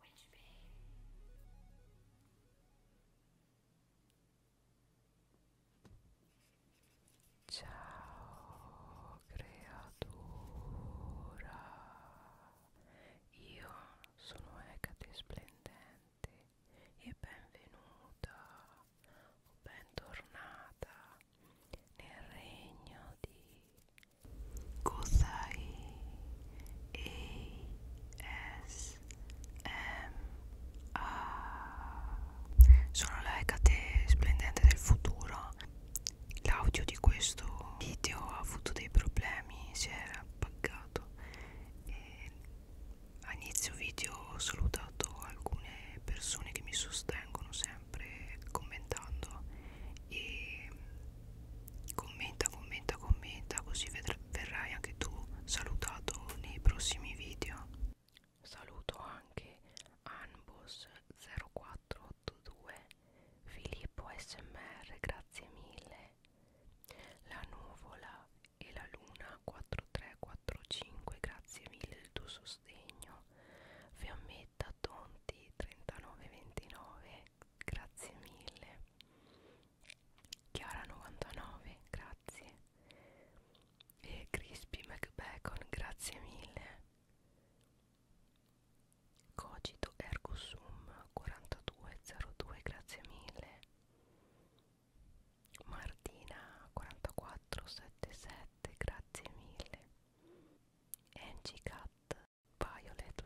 Which bay? Ciao creatura, io sono Ecate Splendente e benvenuta o bentornata nel regno di Kosai ASMR Sono la Hecate splendente del futuro L'audio di questo video ha avuto dei problemi, si era appagato e a inizio video ho salutato alcune persone che mi sostengono sempre commentando e Commenta, commenta, commenta, così verrai anche tu salutato nei prossimi video. Saluto anche Anbos0482, Filippo SMR, grazie mille. La nuvola e la luna 4345, grazie mille del tuo sostegno. Fiammetta Tonti 3929 grazie mille Chiara 99 grazie e Crispy McBacon grazie mille Cogito Ergosum 4202 grazie mille Martina 4477 grazie mille Angie Cat Violet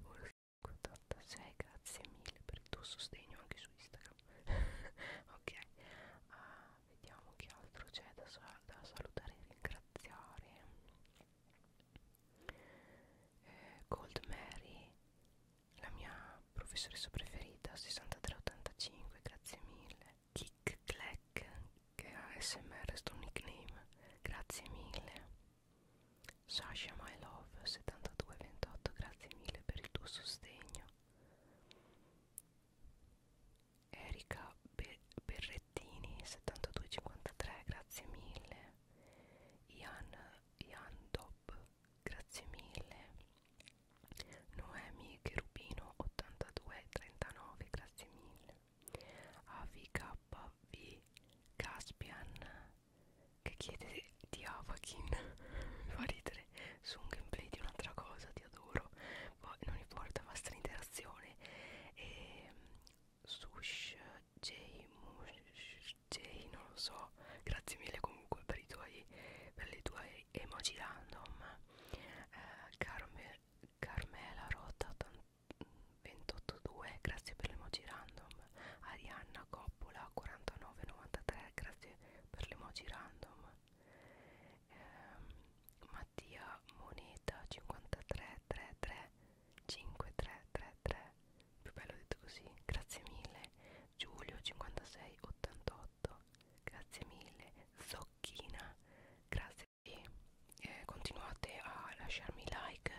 86 grazie mille per il tuo sostegno anche su Instagram ok uh, vediamo che altro c'è da, sal da salutare e ringraziare eh, Gold Mary la mia professoressa preferita 6385 grazie mille Kick Clack che è ASMR sto nickname grazie mille Sasha My Love 7228 grazie mille per il tuo sostegno Erika Be Berrettini 7253 grazie mille Ian, Ian Dob grazie mille Noemi Cherubino 8239 grazie mille AVKV Caspian che chiede di Avakin mi fa ridere su un gameplay di un'altra cosa ti adoro poi non importa basta l'interazione e ehm, sush J, J non lo so grazie mille comunque per i tuoi per le tue emoji random eh, Carme, Carmela Rota 28,2 grazie per l'emoji random Arianna Coppola 49,93 grazie per l'emoji random eh, Mattia Moneta 5333 5333 più bello detto così grazie mille Giulio 5688 grazie mille Zocchina grazie e eh, continuate a lasciarmi like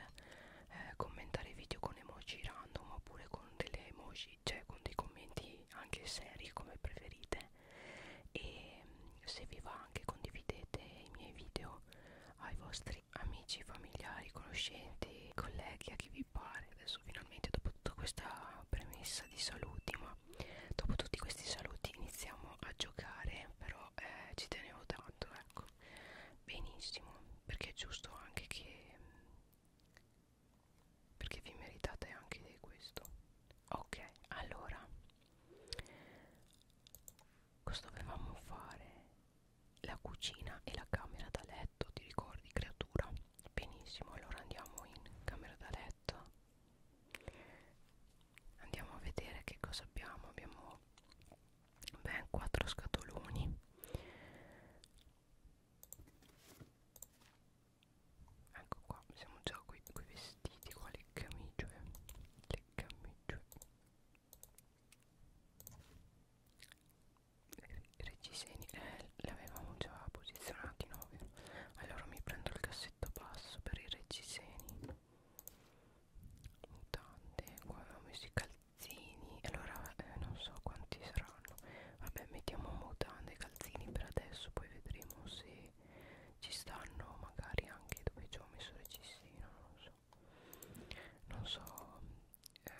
eh, commentare video con emoji random oppure con delle emoji, cioè con dei commenti anche seri come preferite e mm, se vi va anche condividete i miei video ai vostri amici, familiari, conoscenti, colleghi, a chi vi pare adesso finalmente dopo tutta questa premessa di saluti ma dopo tutti questi saluti iniziamo a giocare però eh, ci tenevo tanto ecco benissimo perché è giusto anche che perché vi meritate anche di questo ok allora cosa dovevamo fare la cucina e la camera da letto ti ricordi creatura benissimo allora andiamo in camera da letto andiamo a vedere che cosa abbiamo abbiamo ben 4 scatoloni ecco qua siamo già qui con i vestiti qua le camicie le camicie i reggiseni eh, li avevamo già posizionati no? allora mi prendo il cassetto basso per i reggiseni mutande qua avevamo messo i calzini calzini allora eh, non so quanti saranno vabbè mettiamo mutande e calzini per adesso poi vedremo se ci stanno magari anche dove ci ho messo il cestino non so non so eh,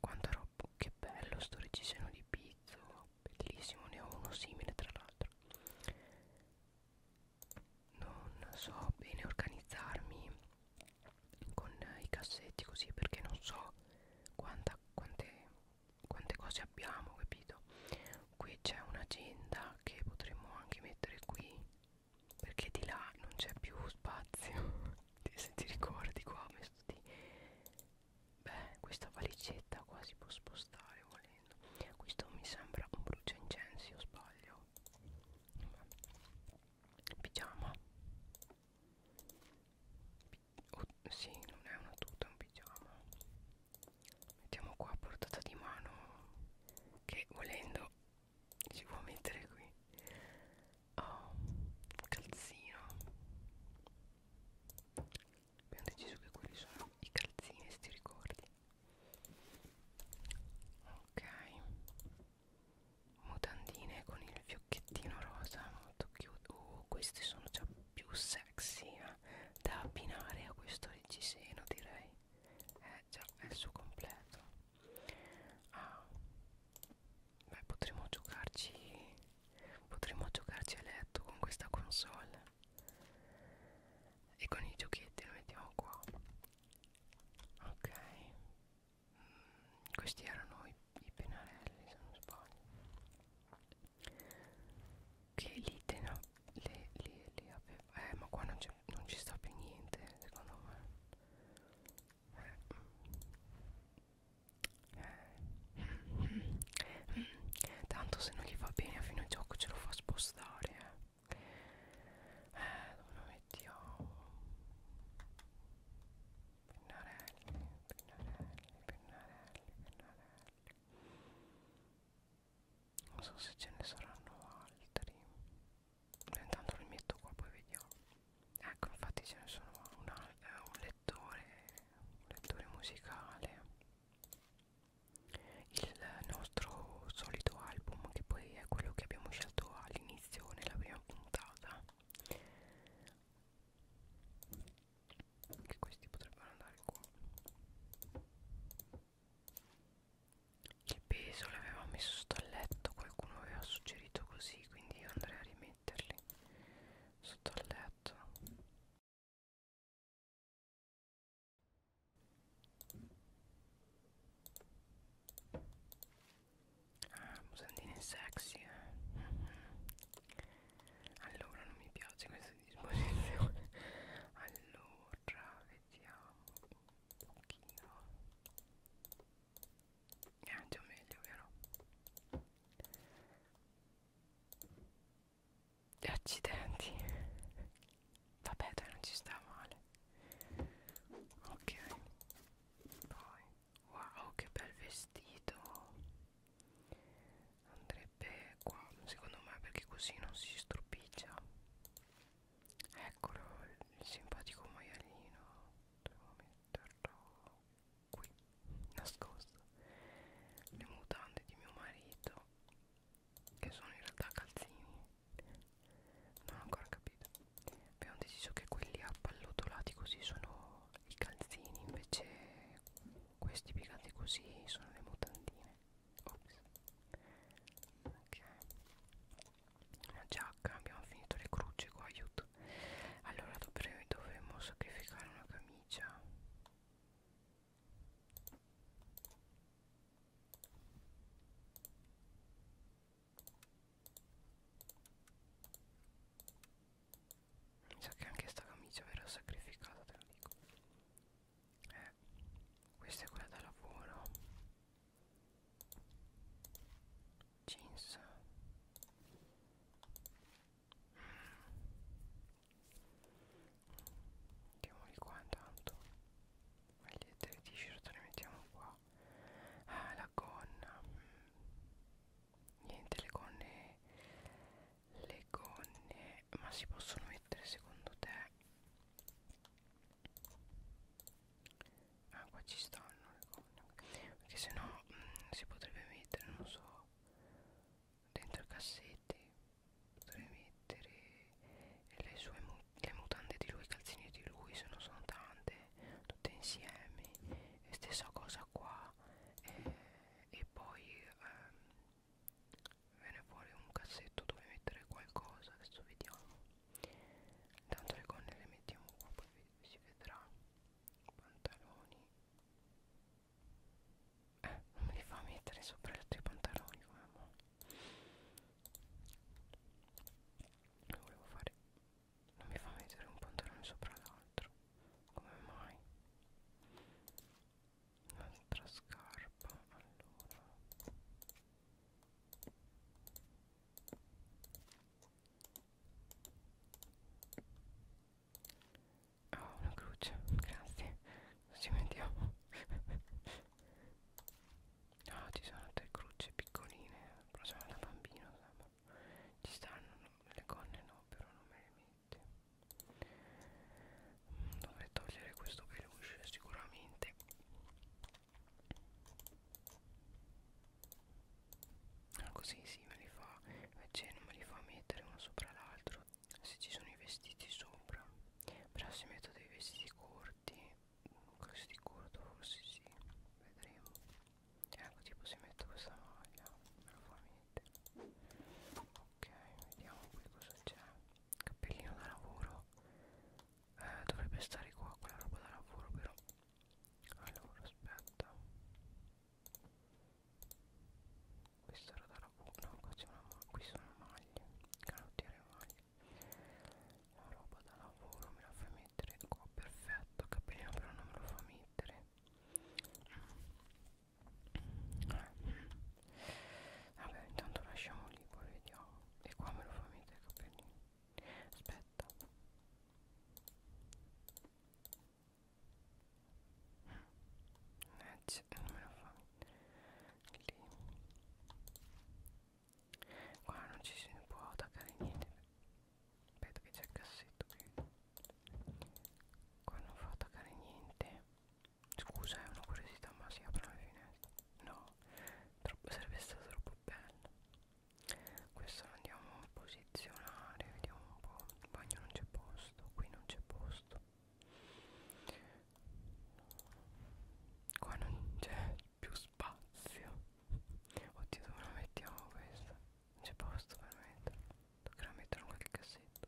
quanta roba che bello sto reggiseno di pizzo bellissimo ne ho uno simile tra l'altro non so bene organizzarmi con i cassetti così perché non so quanta, quante, quante cose abbiamo capito qui c'è un'agenda che potremmo anche mettere qui perché di là non c'è più spazio se ti ricordi qua ho messo di beh questa valigetta qua si può spostare volendo questo mi sembra un bruciaincensi o sbaglio pigiama oh, sì non è una tuta è un pigiama mettiamo qua a portata di mano che volendo si può mettere qui oh, calzino abbiamo deciso che quelli sono i calzini se ti ricordi ok mutandine con il fiocchettino rosa molto cute uh, queste sono già più sexy eh? da abbinare a questo reggiseno direi eh già è il suo completo ah beh potremmo giocarci potremmo giocarci a letto con questa console e con i giochetti lo mettiamo qua ok questi erano i, i pennarelli se non sbaglio che lì tena, le, le, le aveva eh ma qua non, non ci sta più niente secondo me eh. Eh. tanto se non gli va bene a fine gioco ce lo fa spostare eh, eh mettiamo oh. pennarelli pennarelli pennarelli pennarelli non so se ce ne saranno altri intanto li metto qua poi vediamo ecco infatti ce ne sono un, eh, un lettore un lettore musicale il nostro solito album che poi è quello che abbiamo scelto all'inizio all'inizio nella prima puntata che questi potrebbero andare qua il peso l'aveva messo sto al letto qualcuno aveva suggerito così quindi io andrei a rimetterli sotto al letto Ah, musandine sexy eh. mm -hmm. Allora non mi piace questa disposizione Allora, vediamo un pochino Eh, già meglio, vero? E accidenti Vabbè, dai, non ci sta male Ok poi wow che bel vestito andrebbe qua secondo me perché così non si stropiccia eccolo il simpatico maialino devo metterlo qui nascosto le mutande di mio marito che sono in realtà calzini non ho ancora capito abbiamo deciso che quelli appallotolati così sono i calzini invece questi piegati così sono le mutandine Ops. ok una giacca abbiamo finito le croce qua aiuto allora dovremmo, dovremmo sacrificare una camicia mi sa che anche sta camicia verrà sacrificata, te lo dico. Eh, questa è quella da lavoro. Jeans. Mm. Mettiamoli qua intanto. Magliette e t-shirt le mettiamo qua ah la gonna niente le gonne le gonne ma si possono mettere secondo te ah qua ci stanno le gonne perché sennò mh, mm, si potrebbe mettere non so dentro i cassetti potrei mettere le sue le mutande di lui, i calzini di lui, se non sono tante, tutte insieme, e stessa cosa qua, e, e poi ehm, viene fuori un cassetto dove mettere qualcosa, adesso vediamo, intanto le gonne le mettiamo qua, poi vi, si vedrà, pantaloni, eh, non me li fa mettere sopra i tuoi pantaloni, mamma. Volevo fare non mi fa mettere un pantalone sopra l'altro come mai un'altra scarpa allora Oh, una croce, grazie, non ci mettiamo Ah ci sono tre crucce piccoline Però sono da bambino sembra. Ci stanno no, le gonne no però non me le mette mm, Dovrei togliere questo peluche sicuramente ah, Così si sì, me li fa Invece non me li fa mettere uno sopra l'altro Se ci sono i vestiti sopra Però se metto dei vestiti corti quasi di corto forse sì vedremo e ecco tipo se metto questa maglia me lo fa mettere ok vediamo qui cosa c'è cappellino da lavoro eh, dovrebbe stare qua quella roba da lavoro però allora aspetta questa era da lavoro no qua c'è una maglia qui sono maglie canottiere maglie la roba da lavoro me la fai mettere qua, perfetto, capellino però non me lo fa mettere. Vabbè, intanto lasciamo lì, poi vediamo. E qua me lo fa mettere il capellino. Aspetta. Eh, non me lo fa mettere. Lì qua non ci si può attaccare niente aspetta che c'è il cassetto qui qua non fa attaccare niente scusa è una curiosità ma si aprono le finestre no troppo, sarebbe stato troppo bello questo lo andiamo a posizionare vediamo un po' il bagno non c'è posto qui non c'è posto qua non c'è più spazio Oddio dove la mettiamo questa? Non c'è posto per metterla Toccherà metterla in qualche cassetto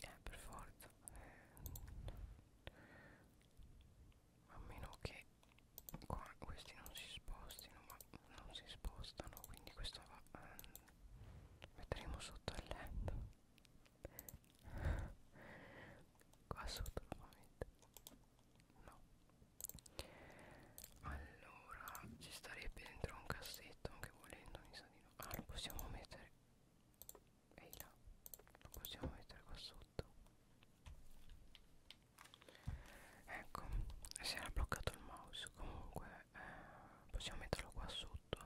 Eh per forza eh. A meno che qua questi non si spostino ma non si spostano quindi questo va eh, metteremo sotto il letto qua sotto nuovamente no allora ci starebbe dentro un cassetto anche volendo mi sa di no ah lo possiamo mettere ehi là lo possiamo mettere qua sotto ecco si era bloccato il mouse comunque eh, possiamo metterlo qua sotto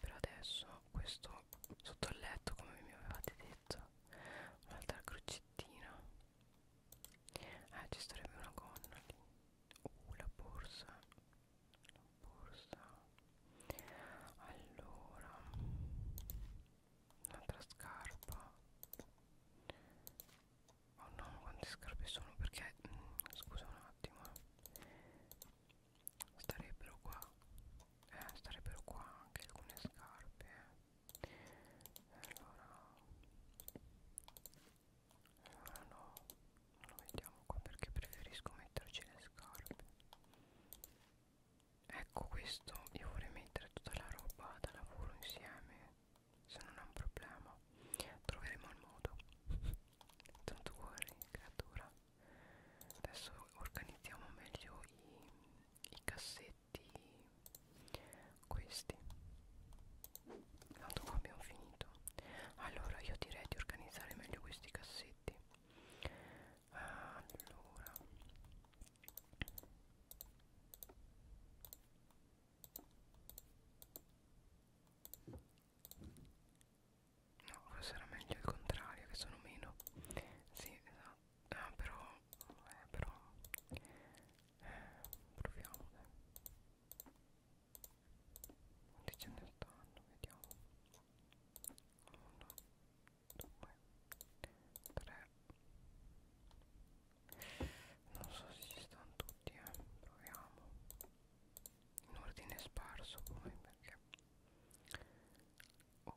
per adesso questo sotto il letto come mi avevate detto un'altra crocettina ah ci starebbe una gonna lì uh la borsa la borsa allora un'altra scarpa oh no quante scarpe sono perché mh, mm, scusa un attimo eh. starebbero qua eh, starebbero qua anche alcune scarpe eh. allora allora ah, no non lo mettiamo qua perché preferisco metterci le scarpe ecco questo io vorrei mettere tutta la roba da lavoro insieme se non è un problema troveremo il modo don't worry creatura adesso organizziamo meglio i, i cassetti questi tanto ah, qua abbiamo finito allora io direi di organizzare meglio questi cassetti allora No, forse era meglio il contrario, che sono meno. Sì, esatto. Ah però eh, però eh, proviamo dai quanti ce ne stanno vediamo 1 2 3 non so se ci stanno tutti eh proviamo in ordine sparso poi perché oh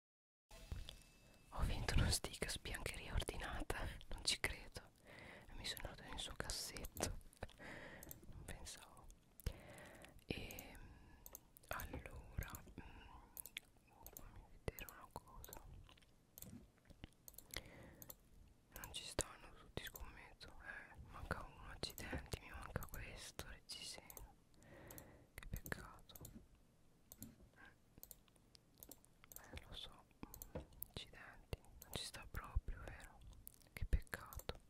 Ho vinto uno stick sbiancheria ordinata, non ci credo. Mi sono andato nel suo cassetto. Non pensavo. E ehm, allora, mm, fammi vedere una cosa. Non ci stanno tutti, scommetto. Eh, manca uno, accidenti, mi manca questo, reggiseno. Che peccato. Eh, lo so, accidenti, non ci sta proprio, vero? Che peccato.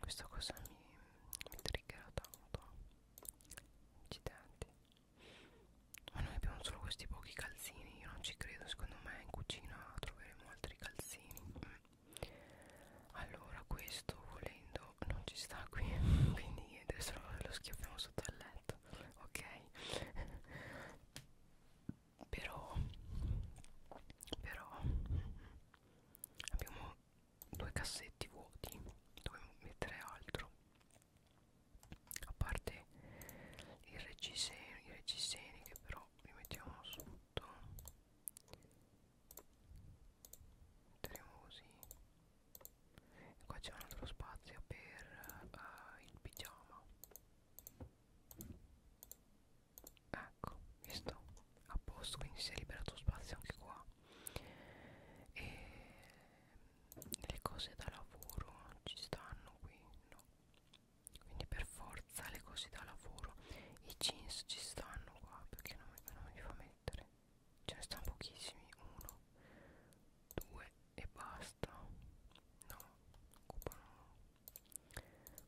Questa cosa mi, mi triggera tanto. Accidenti. Ma noi abbiamo solo questi pochi calzini, io non ci credo, secondo me in cucina troveremo altri calzini. Allora questo volendo non ci sta qui, quindi adesso lo schiaffiamo sotto al letto fatto ok però però abbiamo due cassetti vuoti dovevo mettere altro a parte i reggiseni i reggiseni che però li mettiamo sotto metteremo così e qua c'è un altro spazio per uh, il pigiama ecco visto a posto quindi si è liberato spazio anche qua e le cose da lavoro ci stanno qui no quindi per forza le cose da lavoro i jeans ci stanno qua perché non, non li fa mettere ce ne stanno pochissimi 1 2 e basta no occupano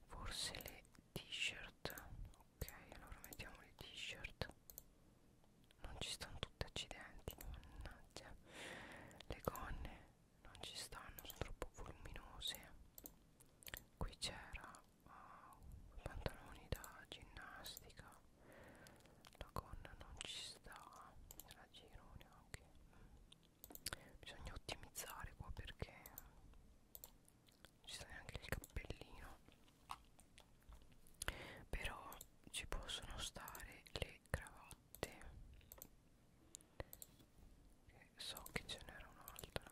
forse le t-shirt ok allora mettiamo le t-shirt non ci stanno tutti accidenti mannaggia le gonne non ci stanno sono troppo voluminose qui c'era uh, pantaloni da ginnastica la gonna non ci sta a giro neanche bisogna ottimizzare qua perché non ci sta neanche il cappellino però ci possono stare le cravatte e so che ce n'era un'altra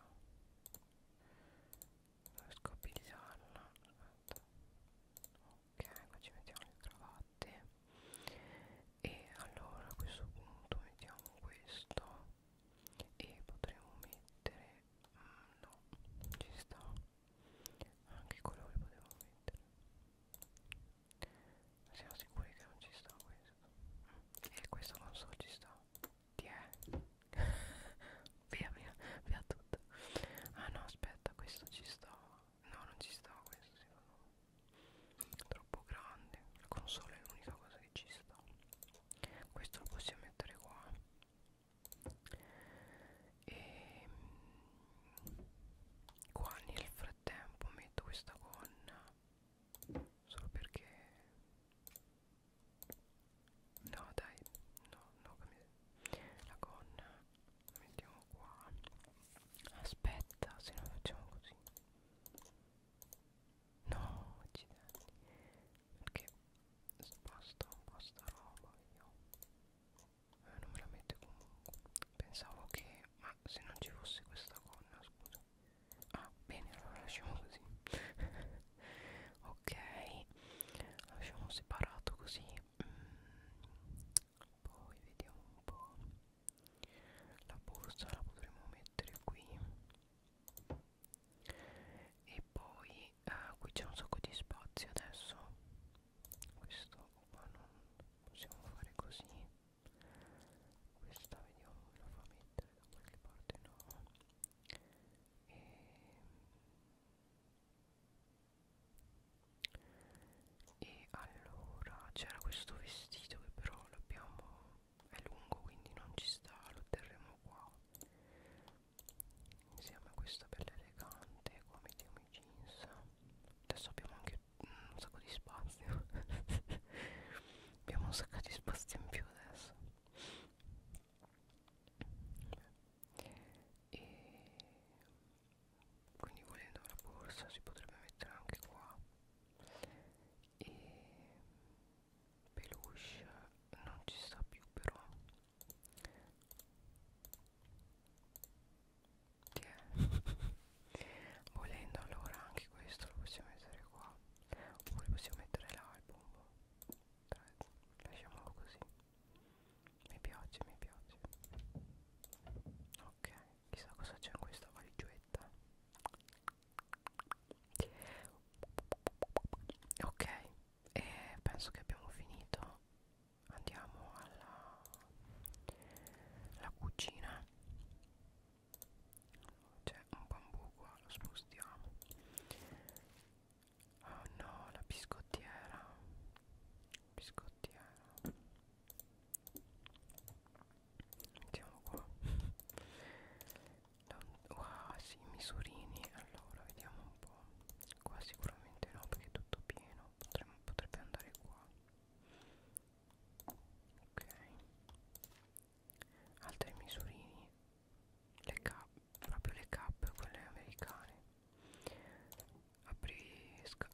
non riesco a pigliarla aspetta no ok qua ci mettiamo le cravatte e allora a questo punto mettiamo questo e potremmo mettere mm, no ci sta anche i colori potevo mettere ma siamo sicuri che non ci sta questo mm. e questo non so ci sta ti è via via via tutto ah no aspetta questo ci sta No, non ci sta questo secondo me. È troppo grande. La console è l'unica cosa che ci sta. Questo lo possiamo mettere qua. E ehm, qua nel frattempo metto questa gonna. Solo perché... No dai, no, no, la gonna mettiamo qua aspetta se no facciamo così no accidenti perché sposto un po' sta roba io eh, non me la mette comunque pensavo che ma se non ci fosse questa gonna scusa ah bene allora lasciamo così ok lasciamo separato così mm poi vediamo un po' la borsa la potremmo mettere qui e poi eh, qui c'è un sacco di spazio adesso questo qua non possiamo fare così questa vediamo me la fa mettere da qualche parte no e e allora c'era questo vestito che però l'abbiamo è lungo quindi non ci sta lo terremo qua insieme a questa bella elegante qua mettiamo i jeans adesso abbiamo anche un sacco di spazio abbiamo un sacco di spazio in più adesso Beh. e quindi volendo la borsa si potrebbe mettere anche qua e peluche non ci sta più però volendo allora anche questo lo possiamo mettere qua oppure possiamo mettere l'album lasciamolo così mi piace, mi piace. Ok, chissà cosa c'è in questa valigietta. Ok, e penso che abbiamo finito. Andiamo alla, alla cucina. C'è un bambù qua, lo spostiamo. Oh no, la biscottiera. Biscottiera. Mettiamo qua Wow sì, misurini Allora vediamo un po' Qua sicuramente no perché è tutto pieno Potremmo, Potrebbe andare qua Ok Altri misurini Le cap, proprio le cap, quelle americane apri,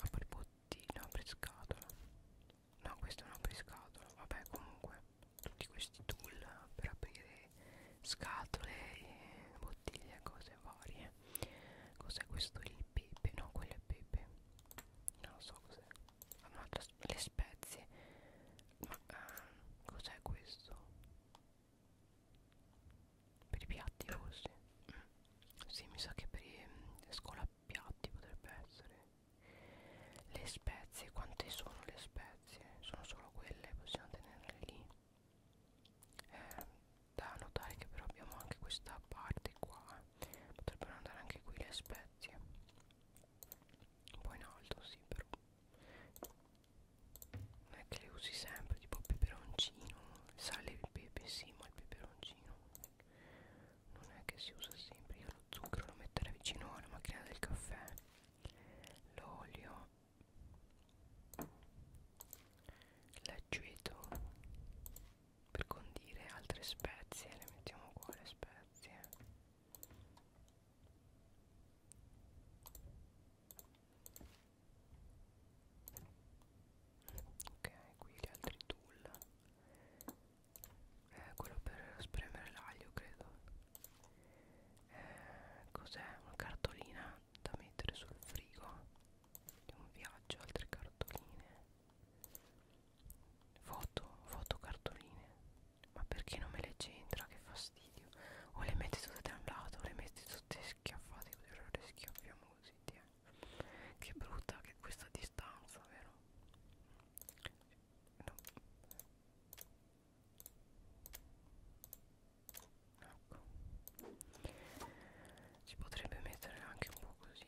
apri bottino apri scatola no questo è un apri scatola vabbè comunque tutti questi tool per aprire scatole e eh, bottiglie cose varie cos'è questo il pepe no quello è pepe non lo so cos'è ah, le spezie ma eh, cos'è questo per i piatti forse sì mi sa che per i scolapiatti potrebbe essere le spezie quante sono le spezie sono solo quelle possiamo tenerle lì eh, da notare che però abbiamo anche questa parte qua potrebbero andare anche qui le spezie un po' in alto sì però non è che le usi sempre tipo il peperoncino il sale e il pepe sì ma il peperoncino vicino non è che si usa sempre io lo zucchero lo metterei vicino alla macchina del caffè l'olio l'aceto per condire altre spezie le mettiamo qua le spezie ok qui gli altri tool eh, quello per spremere l'aglio credo eh, cos'è una cartolina da mettere sul frigo di un viaggio altre cartoline foto foto cartoline ma perché non me le c'entra che fastidio o le metti tutte da un lato o le metti tutte schiaffate così le schiaffiamo così tieni che brutta che questa distanza vero no. ecco si potrebbe mettere anche un po' così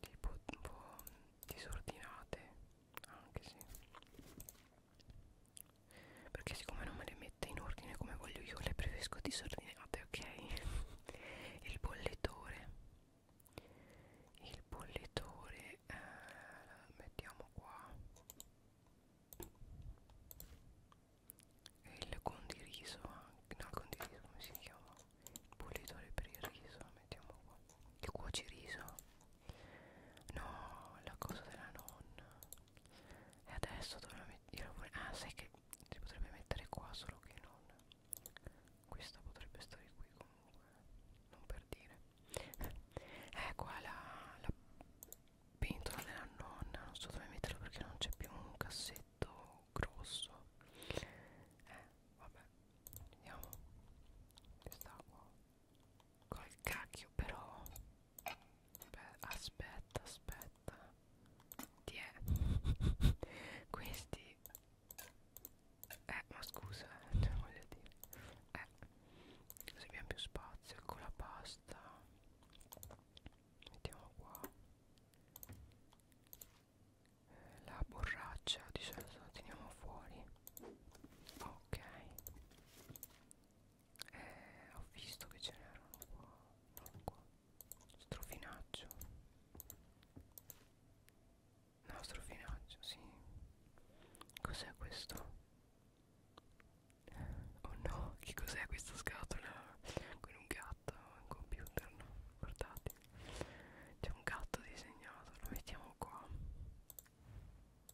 tipo un po' disordinate anche sì perché siccome non me le metto mette in ordine come voglio io le preferisco disordinate ok il bolletore il bolletore eh, mettiamo qua il condiriso anche no il condiriso come si chiama il bollitore per il riso mettiamo qua il cuociriso no la cosa della nonna e adesso dovrò mettere ah sai che si potrebbe mettere qua solo che non questa potrebbe stare qui comunque non per dire è eh, qua la, la pentola della nonna non so dove metterlo perché non c'è più un cassetto grosso eh vabbè vediamo quest'acqua col cacchio però Beh, aspetta, aspetta. Ti è. Questi. Eh, ma scusa, cioè voglio dire. Eh, così abbiamo più spazio. Ecco la pasta. Mettiamo qua. Eh, la borraccia di solito la teniamo fuori. Ok eh, ho visto che ce n'erano qua, non qua strofinaccio no strofinaccio sì cos'è questo oh no che cos'è questa scatola con un gatto un computer no guardate c'è un gatto disegnato lo mettiamo qua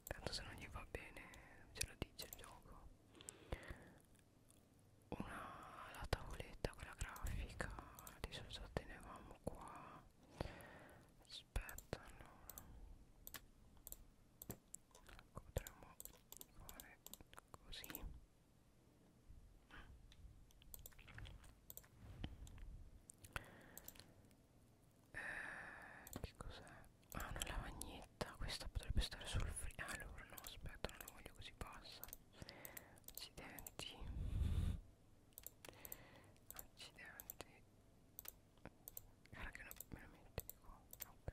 tanto se non gli va bene ce lo dice il gioco una, la tavoletta con la grafica adesso la tenevamo qua aspetta allora ecco, potremmo fare così eh, che cos'è Ah una lavagnetta Questa potrebbe stare sul frigo ah, Allora no aspetta non la voglio così bassa Accidenti Accidenti Guarda che no, me la metti qua Ok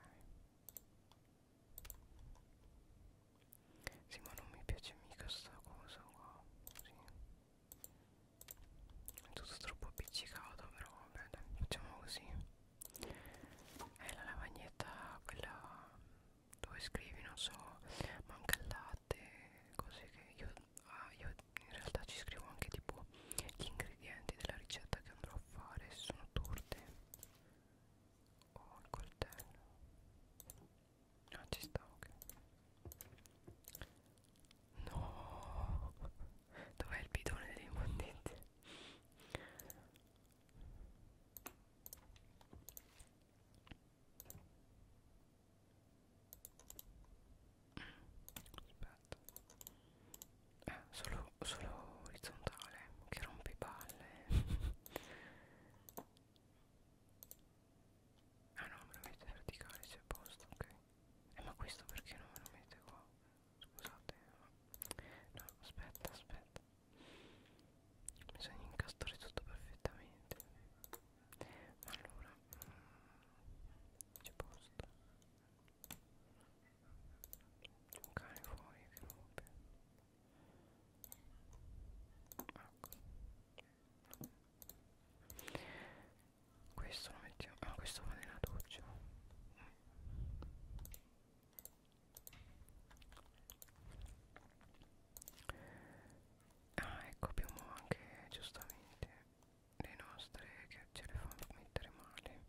Sì ma non mi piace mica sta cosa qua Così è tutto troppo appiccicato però vabbè dai, facciamo così è eh, la lavagnetta quella dove scrivi non so manca il latte cose che io, ah, io in realtà ci scrivo anche tipo gli ingredienti della ricetta che andrò a fare se sono torte o il coltello ah ci sta ok no dov'è il bidone delle immondette Aspetta eh, solo, solo orizzontale che rompe palle ah no me lo mette verticale si è posto ok eh ma questo perché non me lo mette qua Scusate eh. No aspetta aspetta Bisogna incastrare tutto perfettamente Ma allora mm, C'è posto C'è un cane fuori che rompe Ecco questo lo mettiamo, ah questo va nella doccia Ah ecco abbiamo anche giustamente le nostre che ce le fanno mettere male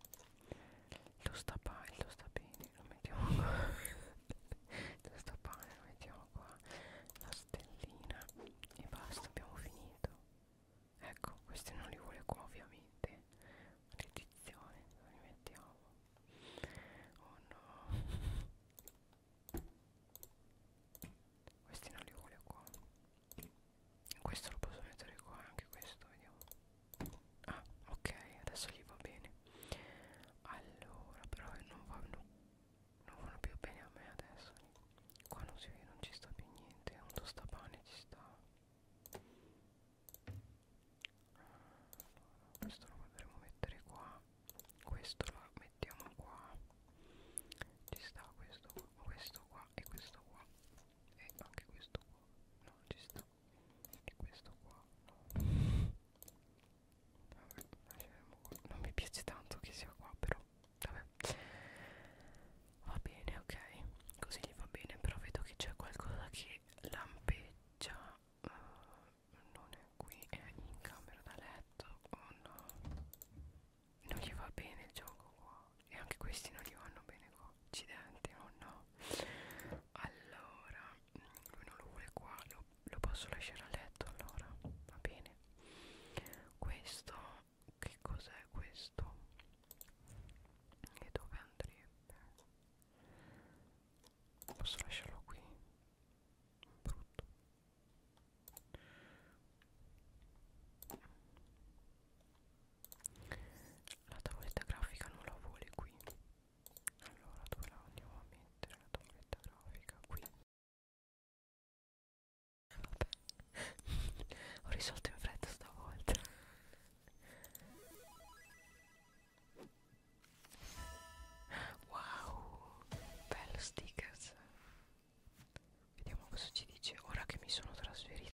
Lo sta pane, lo sta bene, lo mettiamo qua Lo sta pane, lo mettiamo qua La stellina e basta abbiamo finito Ecco questi non li vuole qua ovviamente Redizione, lo rimettiamo Oh no Questi non li voglio qua Questo lo posso mettere qua Anche questo vediamo Ah ok adesso gli va bene Allora però non vanno Non vanno più bene a me adesso Qua non si vede non ci sta più niente Un tostapane ci sta questo lo potremmo mettere qua questo lo mettiamo qua ci sta questo qua questo qua e questo qua e anche questo qua no ci sta e questo qua no. Vabbè, qua. non mi piace tanto che sia qua però vabbè va bene ok così gli va bene però vedo che c'è qualcosa che lampeggia già uh, non è qui, è in camera da letto, oh eh, no, non gli va bene il gioco qua, e anche questi non gli vanno bene qua, accidenti, oh no, allora, mm, lui non lo vuole qua, lo, lo posso lasciare a letto allora, va bene, questo, che cos'è questo? E dove andrebbe? Posso lasciarlo qui? Brutto. La tavoletta grafica non la vuole qui. Allora dove la andiamo a mettere la tavoletta grafica? Qui. Vabbè, ho risolto in fretta stavolta. Wow, bello stickers. Vediamo cosa ci dice. Ora che mi sono trasferita.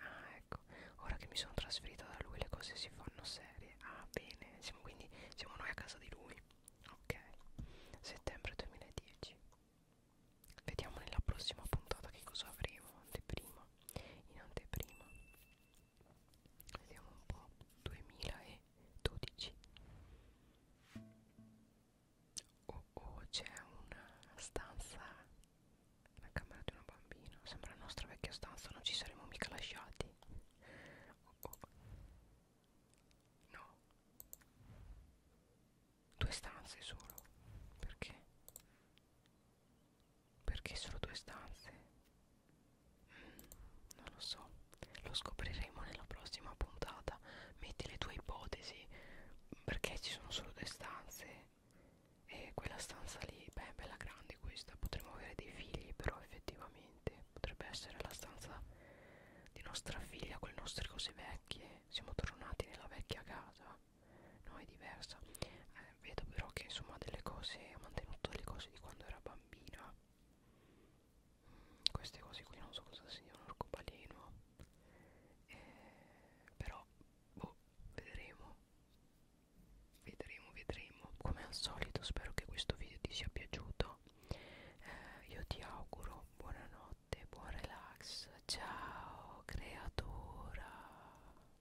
Ah, ecco. Ora che mi sono trasferita da lui le cose si fanno serie. Ah, bene. Siamo quindi siamo noi a casa di lui. Ok. Settembre 2010. Vediamo nella prossima puntata che cosa avremo. Anteprima. In anteprima vediamo un po' 2012 oh oh c'è una stanza la camera di una bambina sembra la nostra vecchia stanza non ci saremmo mica lasciati oh oh no due stanze solo perché perché solo due stanze? Mm, non lo so, lo scopriremo nella prossima puntata. Metti le tue ipotesi, perché ci sono solo due stanze? E quella stanza lì, beh, è bella grande questa, potremmo avere dei figli, però effettivamente potrebbe essere la stanza di nostra figlia con le nostre cose vecchie. Siamo tornati nella vecchia casa no è diversa eh, vedo però che insomma ha delle cose ha mantenuto delle cose di quando era bambina mm, queste cose qui non so cosa siano un arcobaleno eh, però boh vedremo vedremo vedremo come al solito spero che questo video ti sia piaciuto eh, io ti auguro buonanotte buon relax ciao creatura